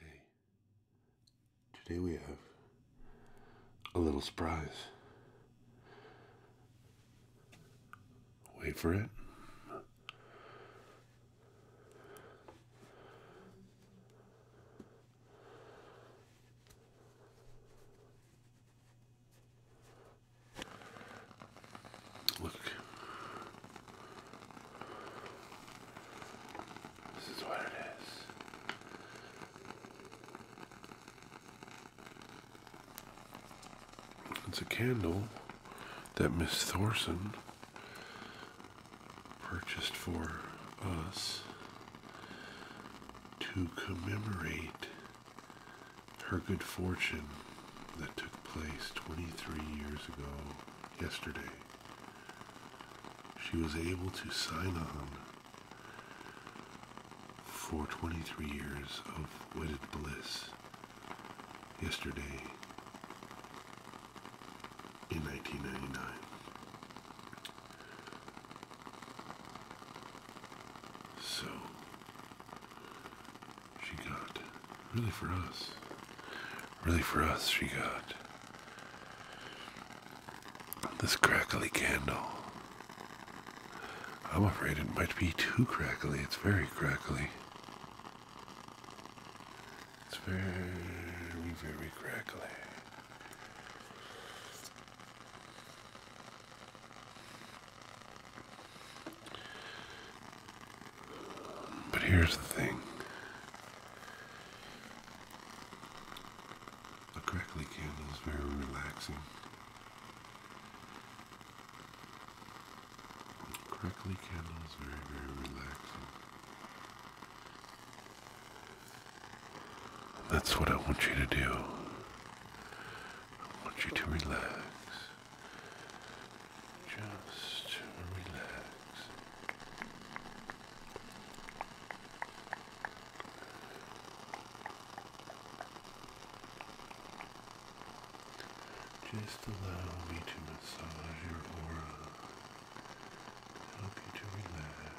Hey, today we have a little surprise. Wait for it. Look. This is what it is. It's a candle that Miss Thorson purchased for us to commemorate her good fortune that took place 23 years ago yesterday she was able to sign on for 23 years of wedded bliss yesterday in 1999. So she got, really for us, really for us, she got this crackly candle. I'm afraid it might be too crackly. It's very crackly. It's very, very crackly. But here's the thing a crackly candle is very relaxing. crackly candle is very, very relaxing. that's what I want you to do. I want you to relax. Just relax. Just allow me to massage your aura, help you to relax.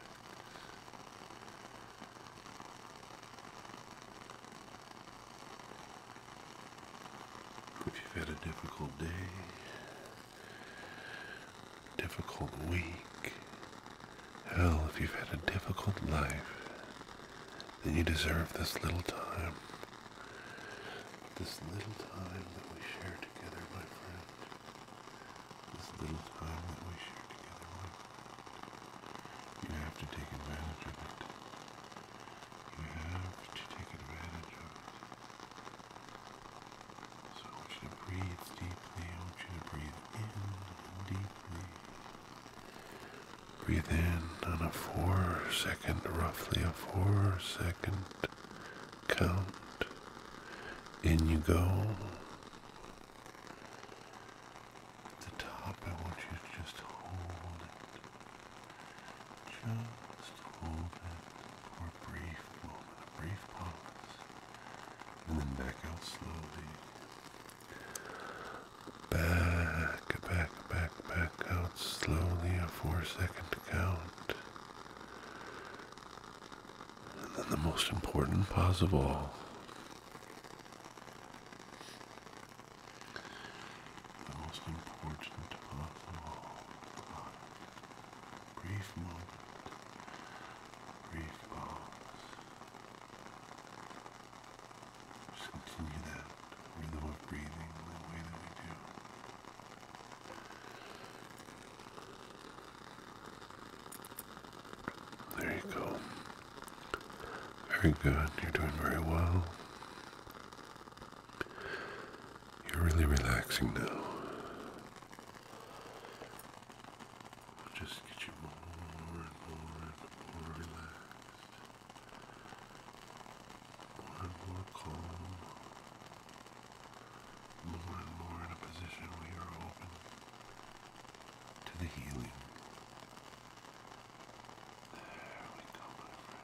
If you've had a difficult day, difficult week. Hell, if you've had a difficult life, then you deserve this little time. This little time that we share together, my friend. This little time that we share together, my friend. You have to take advantage of it. You have to take advantage of it. So I want you to breathe deeply. I want you to breathe in deeply. Breathe in on a four second, roughly a four second count. In you go. At the top, I want you to just hold it. Just hold it for brief moment, brief pause, and then back out slowly. Back, back, back, back out slowly, a four second count. And then the most important possible. The most important pause brief moment, brief pause. continue that rhythm of breathing the way that we do. There you go. Very good. You're doing very well. You're really relaxing now. We'll just get you more and more and more relaxed. More and more calm. More and more in a position where you're open to the healing. There we go, my friend.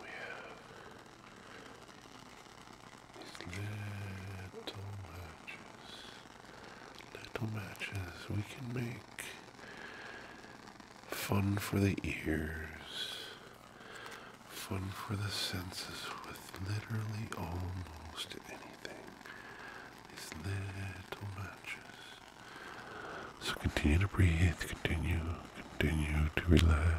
We have these little matches, little matches we can make fun for the ears, fun for the senses with literally almost anything these little matches. So continue to breathe, continue, continue to relax.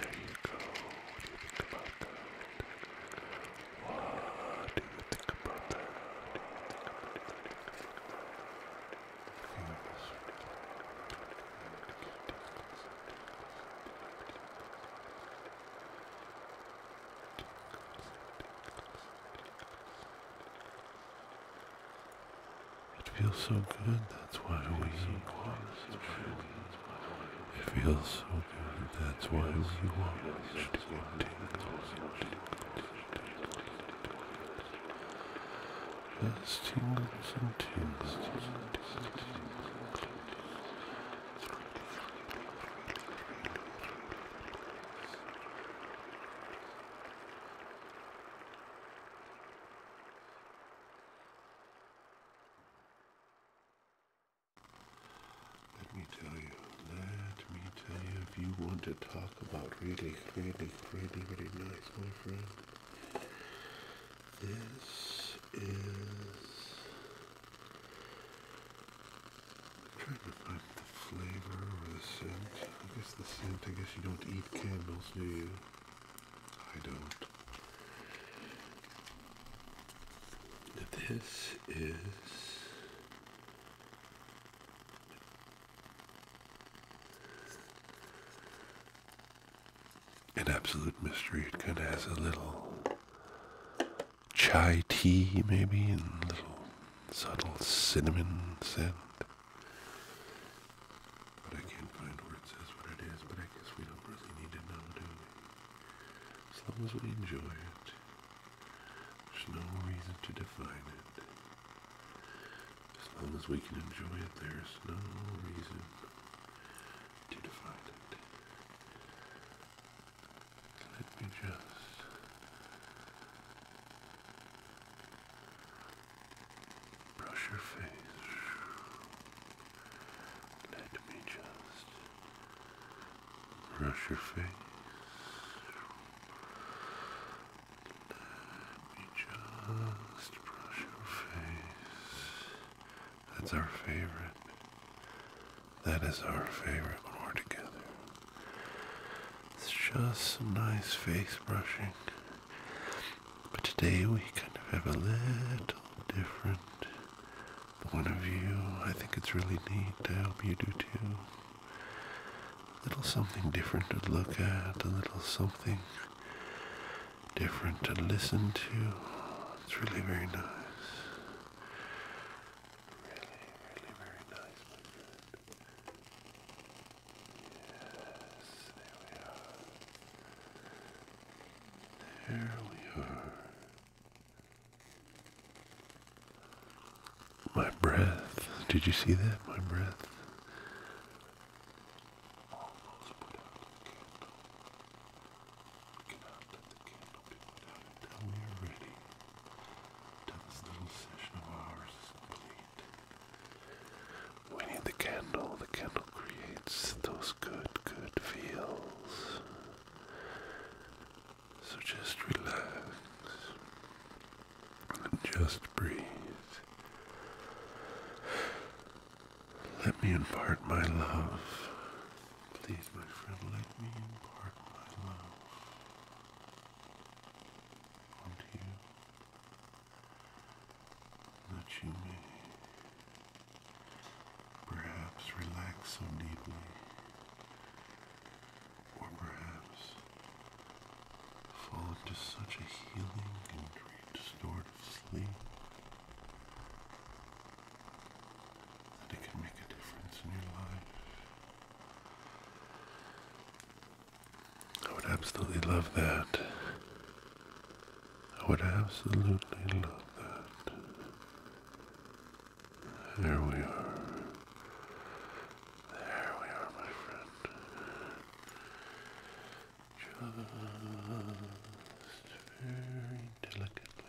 There you go. What do you think about that? What do you think about that? Yes. It feels so good, that's why we want. It feels so good, that's why we watched. That's tingles and tingles. Let me tell you, let me tell you, if you want to talk about really, really, really, really nice, my friend, this is. trying to find the flavor or the scent. I guess the scent, I guess you don't eat candles, do you? I don't. This is an absolute mystery. It kind of has a little chai tea, maybe, and a little subtle cinnamon scent. But I can't find where it what it is, but I guess we don't really need to know, do we? As long as we enjoy it, there's no reason to define it. As long as we can enjoy it, there's no reason to define it. Let me just. Brush your face. Let me just brush your face. Let me just brush your face. That's our favorite. That is our favorite when we're together. It's just some nice face brushing. But today we kind of have a little different point of view. I think it's really neat. to help you do too. A little something different to look at, a little something different to listen to. It's really very nice. Really, really very nice, my Yes, there we are. There we are. My breath. Did you see that? My breath. We cannot let candle be put out until we are ready. Until this little session of ours is complete. We need the candle. The candle creates those good, good feels. So just relax. And just breathe. Let me impart my love. Please, my friend, let me impart my love unto you, that you may perhaps relax so deeply, or perhaps fall into such a healing and restorative sleep that it can make a difference in your life. I would absolutely love that. I would absolutely love that. There we are. There we are, my friend. Just very delicately.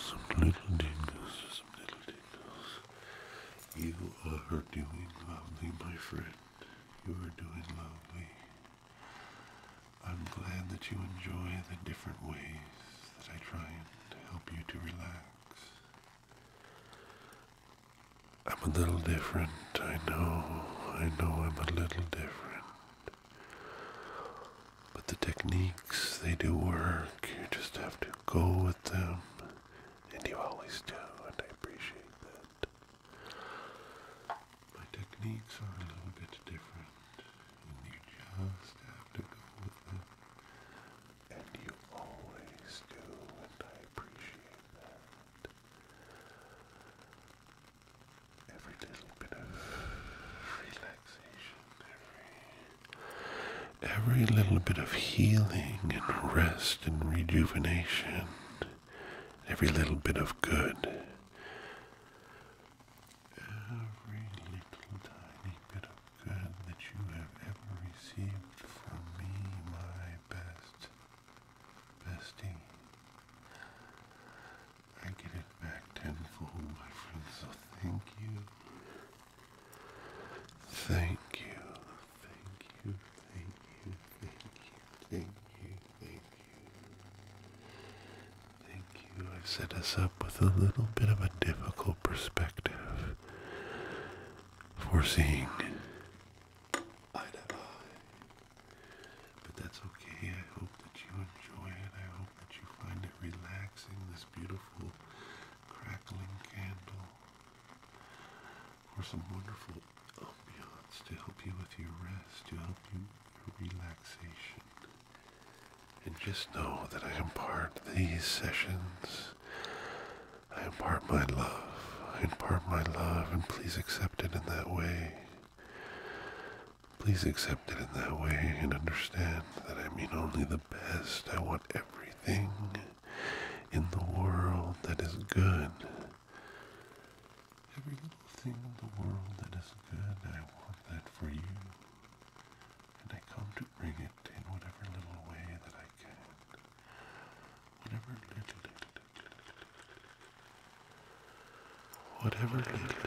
Some little tingles, some little tingles. You are doing lovely, my friend. You are doing lovely. I'm glad that you enjoy the different ways that I try to help you to relax. I'm a little different, I know, I know I'm a little different. But the techniques, they do work. You just have to go with them. And you always do, and I appreciate that. My techniques are a little bit different, and you just have to go with them. And you always do, and I appreciate that. Every little bit of relaxation, every, every little bit of healing and rest and rejuvenation every little bit of good. Every little tiny bit of good that you have ever received from me, my best bestie. I get it back tenfold, my friend, so thank you. Thank you. Thank you, thank you, thank you, thank you, thank you. Thank you. I've set us up with a little bit of a difficult perspective for seeing eye to eye. But that's okay. I hope that you enjoy it. I hope that you find it relaxing, this beautiful crackling candle. Or some wonderful ambience to help you with your rest, to help you your relaxation. And just know that I impart these sessions. I impart my love. I impart my love, and please accept it in that way. Please accept it in that way and understand that I mean only the best. I want everything in the world that is good Every little thing in the world that is good, I want that for you. And I come to bring it in whatever little way that I can. Whatever little, Whatever little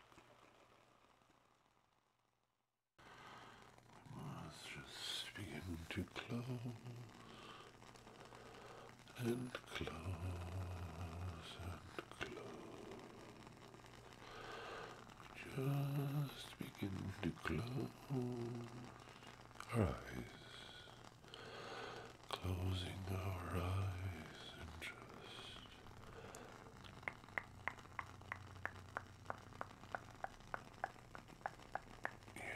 let just begin to close and close and close. Just begin to close our eyes Closing our eyes and just. Yes, just. Yes.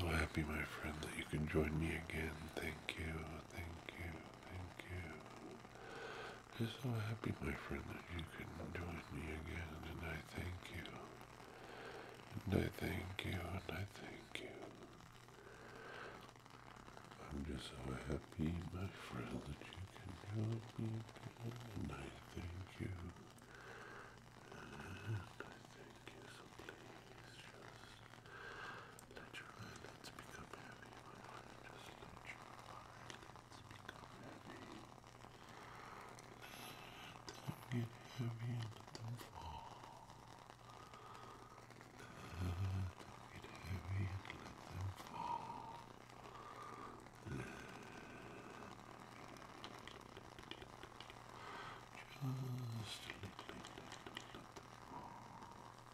So happy, my friend, that you can join me again. Thank you, thank you, thank you. I'm just so happy, my friend, that you can join me again, and I thank you. And I thank you, and I thank you. I'm just so happy, my friend, that you can join me again, and I thank you. And I thank you, so please just let your eyelids become heavy, my Just let your eyelids. Let it get heavy and let them fall. Let them get heavy and let them fall. Let just let them fall.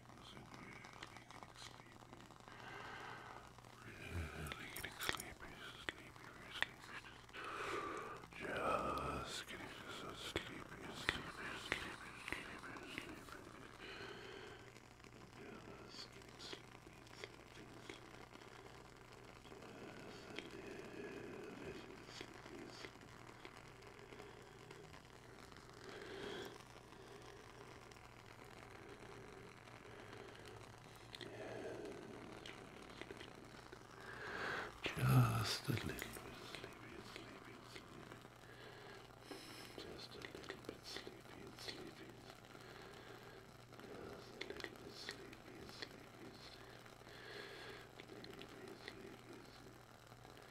because I'm really getting sleepy. Really getting sleepy, sleepy, very sleepy. Just getting so sleepy, sleepy, sleepy, sleepy, sleepy. Just getting sleepy, sleepy, sleepy. Just a little bit sleepy, sleepy. Just a little bit sleepy, sleepy, sleepy. Just a little bit sleepy sleepy sleepy. Just a little bit sleepy sleepy. Just a little bit sleepy. Sleepy, sleepy, sleepy. sleepy.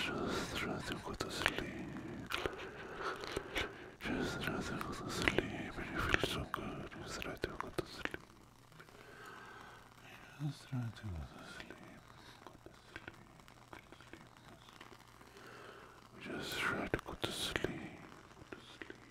Just trying to go to sleep. Go to Just try to go to sleep. Go to sleep.